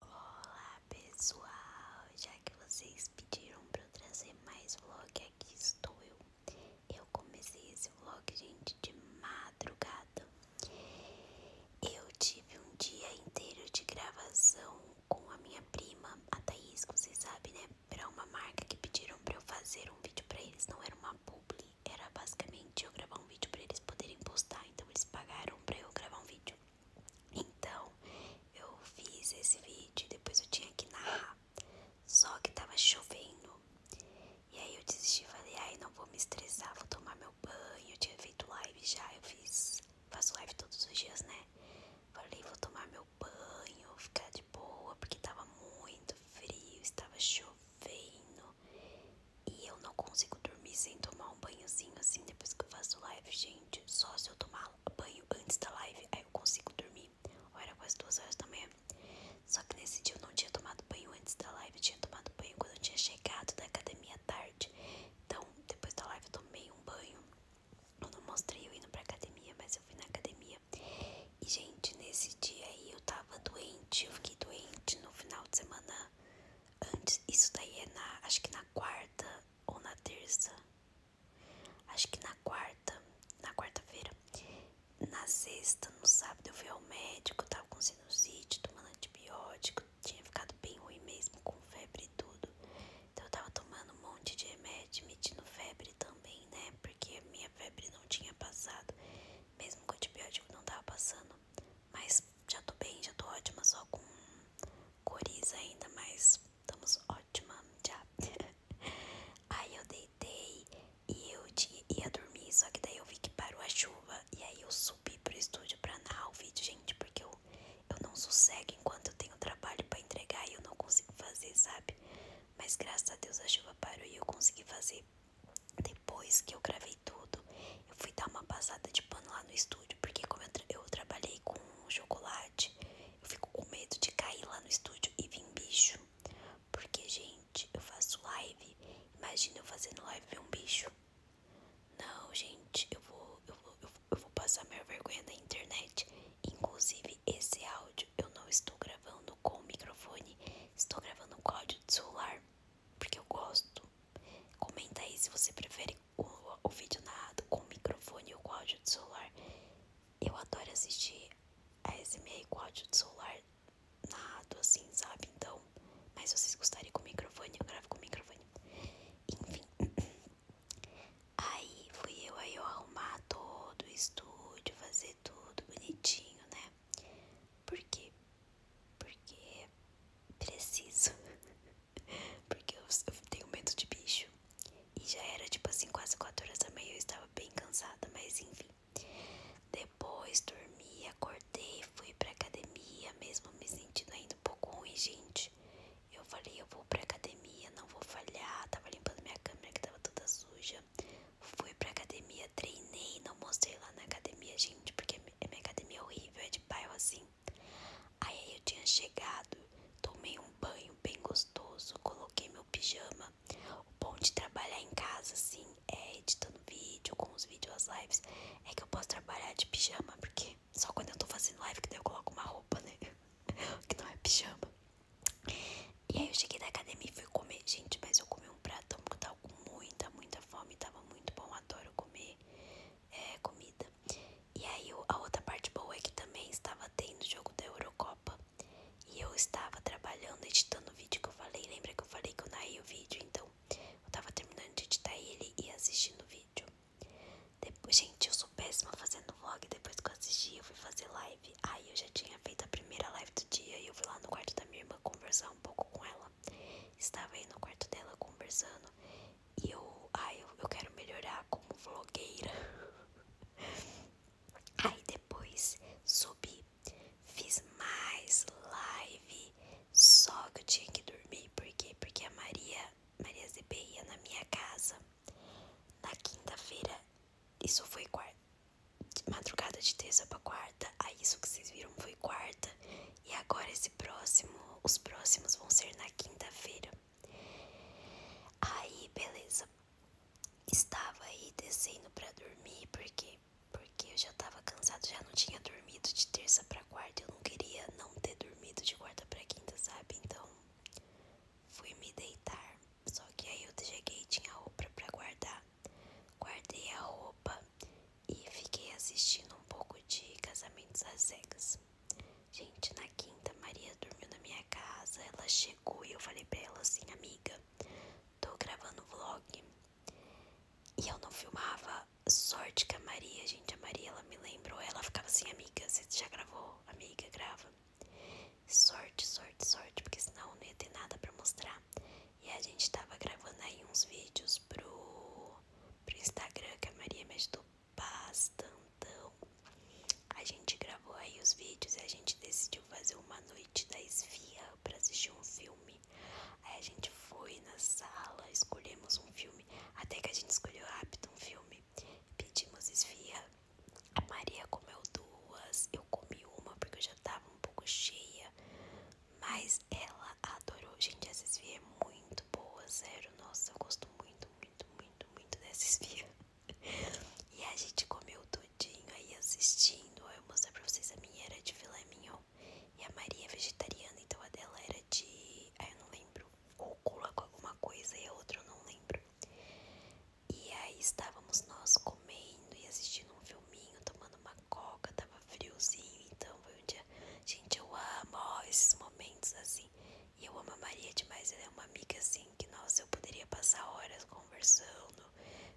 Olá pessoal, já que vocês pediram para eu trazer mais vlog, aqui estou eu. Eu comecei esse vlog, gente, de madrugada. Eu tive um dia inteiro de gravação com a minha prima, a Thaís, que vocês sabem, né? Era uma marca que pediram para eu fazer um vídeo para eles, não era uma publi, era basicamente eu gravar um vídeo para eles poderem postar, então eles pagaram para eu gravar um vídeo. Então, eu fiz esse vídeo, depois eu tinha que narrar, só que tava chovendo. E aí eu desisti, falei, ai, não vou me estressar, vou tomar meu banho. Eu tinha feito live já, eu fiz, faço live todos os dias, né? Falei, vou tomar meu banho, ficar de boa, porque tava muito frio, estava chovendo. E eu não consegui dormir sem tomar um banhozinho assim depois que eu faço live, gente. Só se eu tomar banho antes da live, aí eu consigo dormir. Ou era quase duas horas da manhã. Só que nesse dia eu não tinha tomado banho antes da live, eu tinha tomado banho quando eu tinha chegado da academia à tarde. Então, depois da live eu tomei um banho. Eu não mostrei eu indo pra academia, mas eu fui na academia. E, gente, nesse dia aí eu tava doente, eu fiquei doente no final de semana antes. Isso daí é na, acho que na na quarta ou na terça. Acho que na quarta, na quarta-feira. Na sexta, no sábado, eu fui ao médico, tava com sinusite, tomando antibiótico, tinha ficado bem ruim mesmo, com febre e tudo. Então eu tava tomando um monte de remédio, medindo febre também, né? Porque a minha febre não tinha passado. Mesmo com o antibiótico não tava passando. Mas já tô bem, já tô ótima, só com coriza ainda, mas estamos ótima já. aí eu deitei e eu ia dormir, só que daí eu vi que parou a chuva. E aí eu subi pro estúdio pra narrar o vídeo, gente, porque eu, eu não sossego enquanto eu tenho trabalho pra entregar e eu não consigo fazer, sabe? Mas graças a Deus a chuva parou e eu consegui fazer. Depois que eu gravei tudo, eu fui dar uma passada de pano lá no estúdio porque como eu, eu trabalhei com chocolate, eu fico com medo de cair lá no estúdio e vir bicho. Porque, gente, eu faço live. Imagina eu fazendo live ver um bicho. Não, gente, eu vou, eu vou, eu vou, passar minha vergonha na internet. Inclusive, esse áudio eu não estou gravando com o microfone, estou gravando um o áudio do celular, porque eu gosto. Comenta aí se você prefere o, o vídeo narrado com o microfone e com áudio do celular. Eu adoro assistir a e com áudio do celular narrado assim, sabe? Então, mas vocês gostariam com o microfone, eu gravo com o microfone. Enfim. Aí fui eu aí eu arrumar todo o estúdio, fazer tudo bonitinho, né? porque Porque preciso. Porque eu, tenho medo de bicho. E já era tipo assim, quase 4 horas da manhã. Eu estava bem cansada, mas enfim. Depois dormi, acordei, fui para academia, mesmo me sentindo ainda um pouco ruim, gente. Eu falei, eu vou para academia, não vou falhar. Tava limpando minha câmera que tava toda suja. Fui para academia, treinei, não mostrei lá na academia, gente, porque a é minha academia é horrível, é de bairro assim. Aí eu tinha chegado, tomei um banho bem gostoso, coloquei meu pijama. O bom de trabalhar em casa, assim, é editando vídeo, com os vídeos, as lives, é que eu posso trabalhar de pijama, porque só quando eu tô fazendo live que daí eu coloco uma roupa, né? que não é pijama. E aí eu cheguei da academia e fui comer. Gente, mas eu comi um pratão porque eu tava com muita, muita fome. Tava muito bom, adoro comer é, comida. E aí a outra parte boa é que também estava tendo o jogo da Eurocopa. E eu estava trabalhando, editando o vídeo que eu falei. Lembra que eu falei que eu naí o vídeo? Então, eu estava terminando de editar ele e assistindo o vídeo. gente, eu sou péssima fazendo vlog. Depois que eu assisti, eu fui fazer live. Aí eu já tinha feito a primeira live do dia e eu fui lá no quarto da minha irmã conversar um pouco com ela. Estava aí no quarto dela conversando. E eu, ai, eu, eu quero melhorar como vlogueira. Aí depois subi, fiz mais live, só que eu tinha que dormir, por quê? Porque a Maria, Maria ZB na minha casa na quinta-feira, isso foi quarta, madrugada de terça pra quarta, aí isso que vocês viram foi quarta, e agora esse próximo, os próximos vão ser na quinta-feira. Aí, beleza. Estava aí descendo para dormir, porque porque eu já tava cansado, já não tinha dormido de terça para quarta, eu não queria não ter dormido de quarta para quinta, sabe? Então, fui me deitar. Só que aí eu cheguei, tinha roupa para guardar. Guardei a roupa e fiquei assistindo um pouco de Casamentos às Cegas. Gente, na quinta, Maria dormiu na minha casa, ela chegou e eu falei pra ela assim, amiga, tô gravando vlog. E eu não filmava, sorte que a Maria, gente, a Maria, ela me lembrou, ela ficava assim, amiga, você já gravou? Amiga, grava. Sorte, sorte, sorte, porque senão não ia ter nada pra mostrar. E a gente tava gravando aí uns vídeos pro pro Instagram, que a Maria me ajudou bastantão. A gente gravou aí os vídeos e a gente decidiu fazer uma noite da esfirra para assistir um filme. Aí a gente foi na sala, escolhemos um filme, até que a gente escolheu rápido um filme. Pedimos esfirra. A Maria comeu duas, eu comi uma porque eu já tava um pouco cheia. Mas ela adorou. Gente, essa esfia é muito boa, zero, Nossa, eu gosto muito, muito, muito, muito dessa esfia. E a gente comeu tudinho aí assistindo. Eu mostrei pra vocês, a minha era de filé mignon. E a Maria é vegetariana, então a dela era de... Ah, eu não lembro. Rúcula com alguma coisa e a outra eu não lembro. E aí estávamos nós comendo e assistindo um filminho, tomando uma coca, tava friozinho, então foi um dia. Gente, eu amo esses momentos assim. E eu amo a Maria demais, ela é uma amiga assim que, nossa, eu poderia passar horas conversando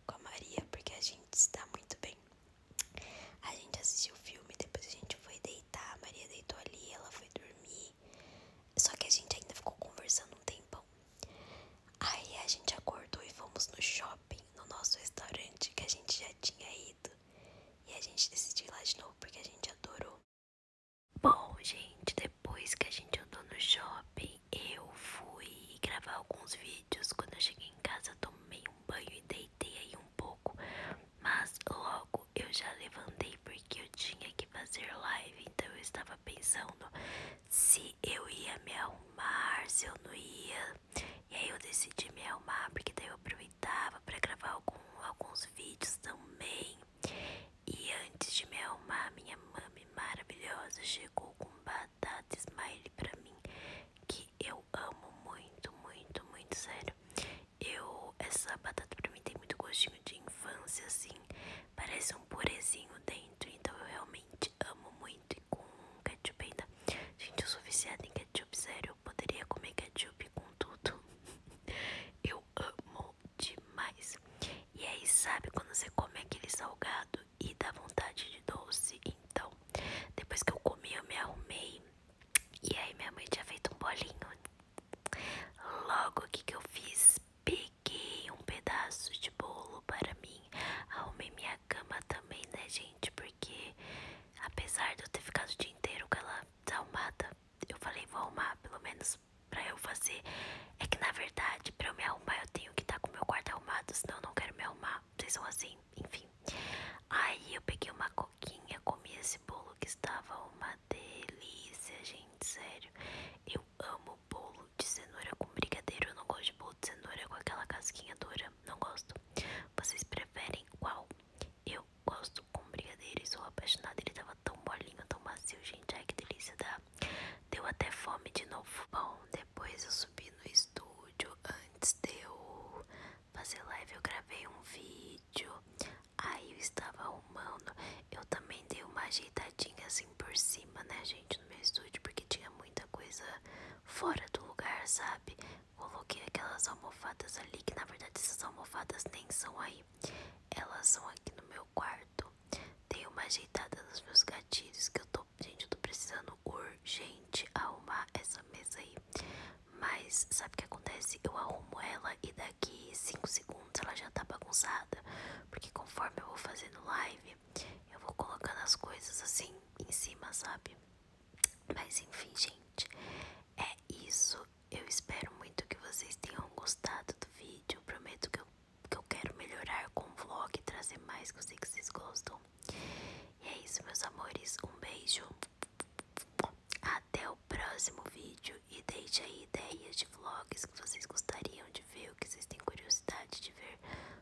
com a Maria, porque a gente está muito bem. A gente assistiu o filme, depois a gente foi deitar, a Maria deitou ali, ela foi dormir. Só que a gente ainda ficou conversando um tempão. Aí a gente acordou e fomos no shopping, no nosso restaurante que a gente já tinha ido e a gente decidiu ir lá de novo porque a gente adorou. Bom, gente, depois que a gente andou no shopping, eu fui gravar alguns vídeos. Quando eu cheguei em casa, tomei um banho e deitei aí um pouco. Mas logo eu já levantei porque eu tinha que fazer live. Então eu estava pensando se eu ia me arrumar, se eu não ia. E aí eu decidi me arrumar porque daí eu aproveitei aproveitava para gravar algum, alguns vídeos também. E antes de me arrumar, minha mami maravilhosa chegou com batata smile para mim, que eu amo muito, muito, muito, sério. Eu, essa batata para mim tem muito gostinho de infância, assim, parece um purezinho dentro, então eu realmente amo muito e com ketchup ainda Gente, eu sou viciada em ketchup, sério. Eu poderia comer ketchup com tudo. Eu amo demais. E aí, sabe quando você come aquele salgado e dá vontade de doce? Então, depois que eu comi, eu me arrumei. E aí, minha mãe tinha feito um bolinho. Logo, o que, eu fiz? Peguei um pedaço de bolo para mim. Arrumei minha cama também, né, gente? porque apesar de eu ter ficado o dia inteiro com ela desarrumada, eu falei, vou arrumar, pelo menos pra eu fazer. É que na verdade, pra eu me arrumar, eu tenho que estar tá com o meu quarto arrumado, senão eu não quero me arrumar. Vocês são assim, enfim. Aí eu peguei uma coquinha, comi esse bolo que estava uma delícia, gente, sério. Eu amo bolo de cenoura com brigadeiro, eu não gosto de bolo de cenoura com aquela casquinha dura, não gosto. Vocês preferem qual? Eu gosto com brigadeiro e sou apaixonada. Ele tava tão molinho, tão macio, gente. Ai, que delícia, tá? Deu até fome de novo. Bom, depois eu subi no estúdio. Antes de eu fazer live, eu gravei um vídeo. Aí eu estava arrumando. Eu também dei uma ajeitadinha assim por cima, né, gente, no meu estúdio, porque tinha muita coisa fora do lugar, sabe? Coloquei aquelas almofadas ali, que na verdade essas almofadas nem são aí. Elas são aqui no meu quarto. Dei uma ajeitada nos meus gatilhos, que eu tô, gente, eu tô precisando urgente arrumar essa mesa aí. Mas sabe o que acontece? Eu arrumo ela e daqui 5 segundos ela já tá bagunçada. Porque conforme eu vou fazendo live, eu vou colocando as coisas assim em cima, sabe? Mas enfim, gente, é isso. Eu espero muito que vocês tenham gostado do vídeo. Prometo que eu, que eu quero melhorar com o vlog e trazer mais coisas que vocês gostam. E é isso, meus amores. Um beijo. Até o próximo vídeo. E deixe aí ideias de vlogs que vocês gostariam de ver, o que vocês têm curiosidade de ver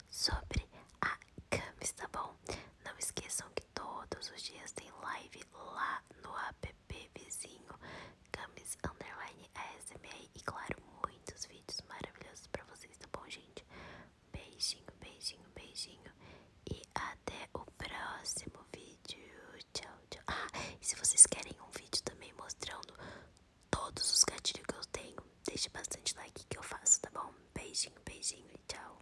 sobre a Camis, tá bom? Não esqueçam que todos os dias tem live lá no app vizinho Camis Underline e claro, muitos vídeos maravilhosos pra vocês, tá bom, gente? Beijinho, beijinho, beijinho e até o próximo vídeo. Tchau, tchau. Ah, e se vocês querem um vídeo também mostrando todos os gatilhos que eu tenho, deixe bastante like que eu faço, tá bom? Beijinho, beijinho e tchau.